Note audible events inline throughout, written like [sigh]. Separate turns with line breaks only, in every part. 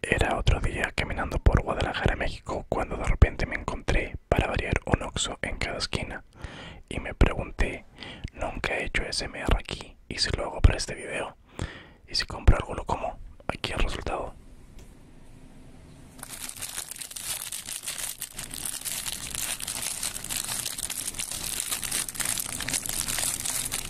Era otro día caminando por Guadalajara, México, cuando de repente me encontré, para variar, un oxo en cada esquina y me pregunté, nunca he hecho SMR aquí y si lo hago para este video y si compro algo lo como, aquí el resultado.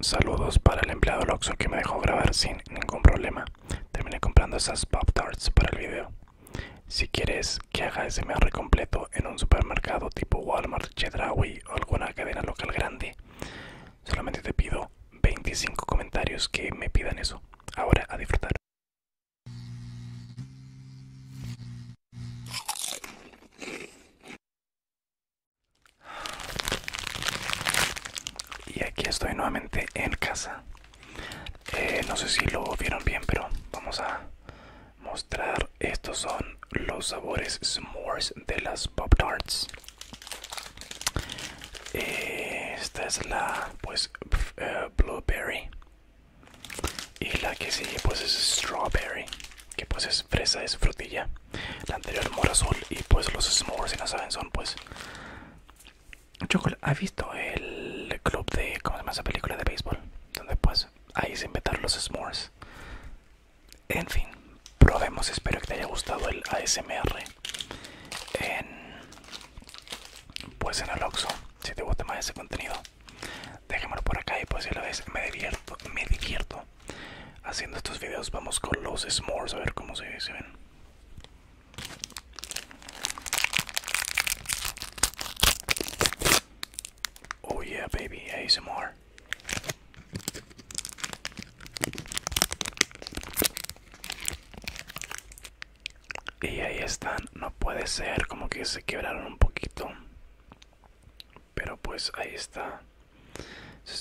Saludos para el empleado Loxo que me dejó grabar sin ningún problema. Terminé comprando esas Pop Tarts para el video. Si quieres que haga ese SMR completo en un supermercado tipo Walmart, Chedraui alguna cadena local grande. Solamente te pido 25 comentarios que me pidan eso. Ahora a disfrutar. Y aquí estoy nuevamente en casa. Eh, no sé si lo vieron bien, pero vamos a mostrar estos son los sabores s'mores de las pop tarts esta es la pues eh, blueberry y la que sigue pues es strawberry que pues es fresa es frutilla la anterior mora y pues los s'mores si no saben son pues chocolate ¿has visto el club de cómo se llama esa película de béisbol? donde pues ahí se inventaron los s'mores en fin, probemos. Espero que te haya gustado el ASMR. En, pues en el si te gusta más ese contenido, déjamelo por acá y pues si lo ves. Me divierto, me divierto haciendo estos videos. Vamos con los s'mores a ver cómo se, se ven. Oh yeah, baby, ASMR. Y ahí están, no puede ser, como que se quebraron un poquito. Pero pues ahí está.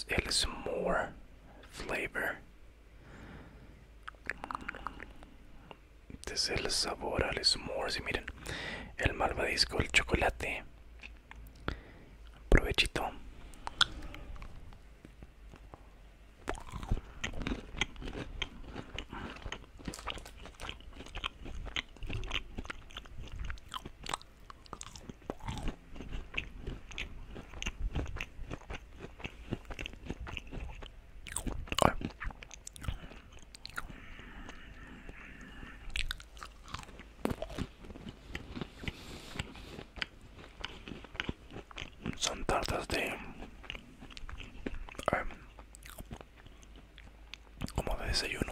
El S'more flavor. Este es el sabor al S'more Si miren, el malvadisco, el chocolate, Provechito. Son tartas de... Eh, como de desayuno.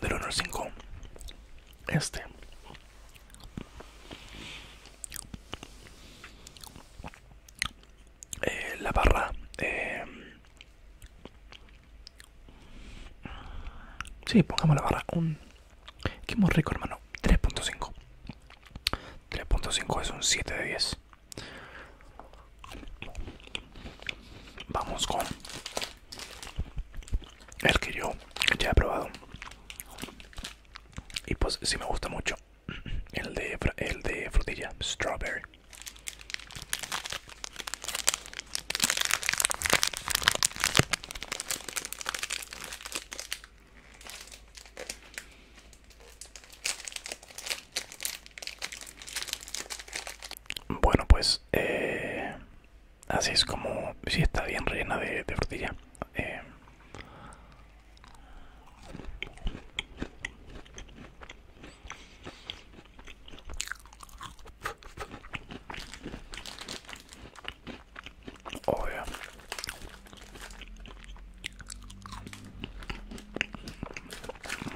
del honor 5 este eh, la barra eh, Si, pongamos la barra un que muy rico hermano 3.5 3.5 es un 7 de 10 vamos con el que yo ya he probado y pues si me gusta mucho el de el de frutilla strawberry bueno pues eh, Así es como, si está bien rellena de, de Eh,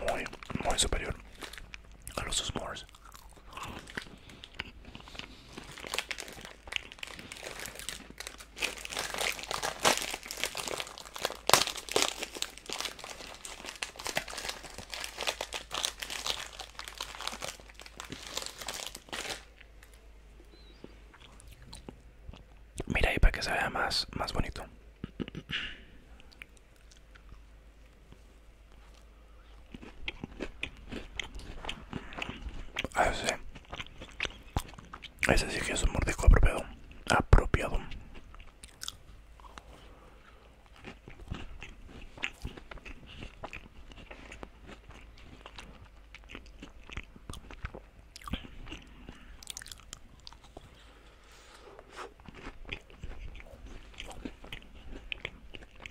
Muy, muy superior a los s'mores. Mira ahí para que se vea más, más bonito. Ah, ese. ese sí que es un mordisco apropiado. Apropiado.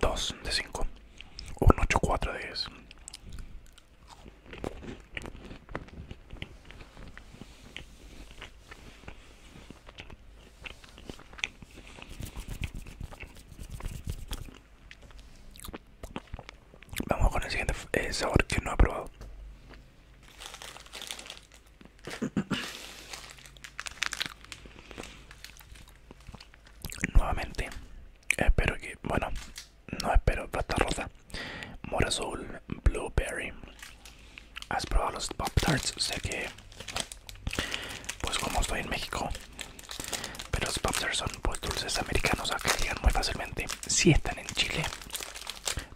2 de 5 un 8 4 de 10 Vamos con el siguiente eh, sabor que no he probado. Nuevamente, espero que, bueno, no espero plata rosa, Morazul blueberry. ¿Has probado los Pop Tarts? Sé que, pues como estoy en México, pero los Pop Tarts son pues, dulces americanos que llegan muy fácilmente. Si están en Chile,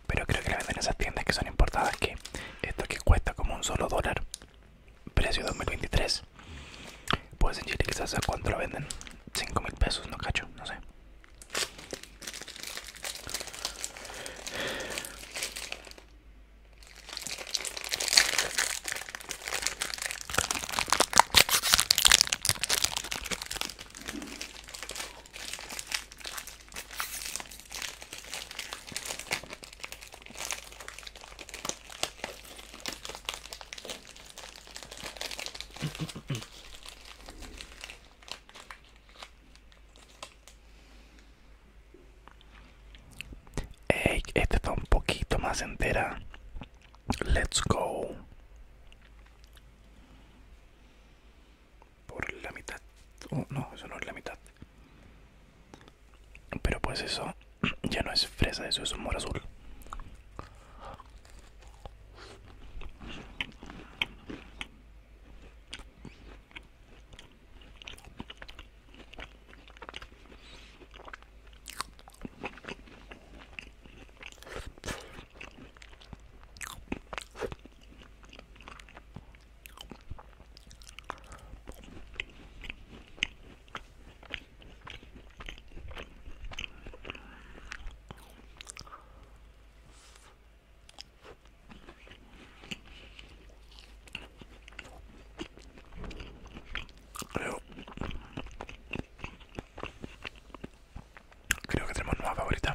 pero creo que la venden en esas tiendas que son importadas que esto que cuesta como un solo dólar precio 2023 pues en Chile quizás a cuánto la venden 5 mil pesos no cacho no sé y esta está un poquito más entera. Let's go por la mitad oh, no eso no es la mitad pero pues eso [clears throat] ya no es fresa eso es un azul Creo, creo que tenemos nueva favorita.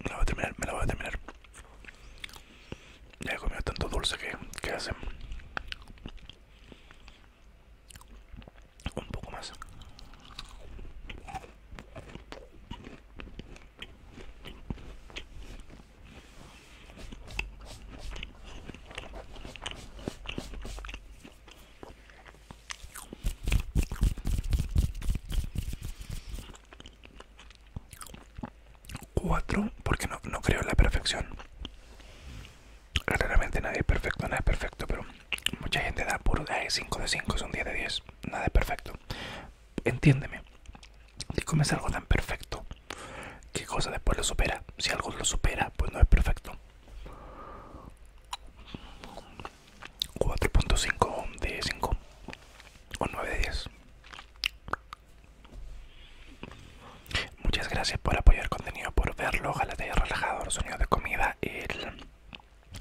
Me la voy a terminar, me la voy a terminar. Ya he comido tanto dulce que, que hace. Un poco más. 4 porque no, creo en la perfección. Realmente nadie es perfecto, nada es perfecto, pero mucha gente da puro de 5 de 5, son 10 de 10, nada es perfecto. Entiéndeme, si comes algo tan perfecto, ¿qué cosa después lo supera? Si algo lo supera, pues no es perfecto. 4.5 de 5 o 9 de 10 muchas gracias por apoyar el contenido por verlo ojalá te haya relajado los sonidos de comida el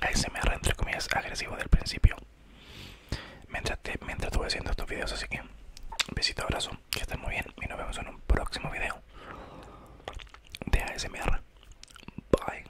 ASMR entre comillas agresivo del principio mientras, mientras estuve haciendo estos videos así que besito abrazo que estén muy bien y nos vemos en un próximo video de ASMR bye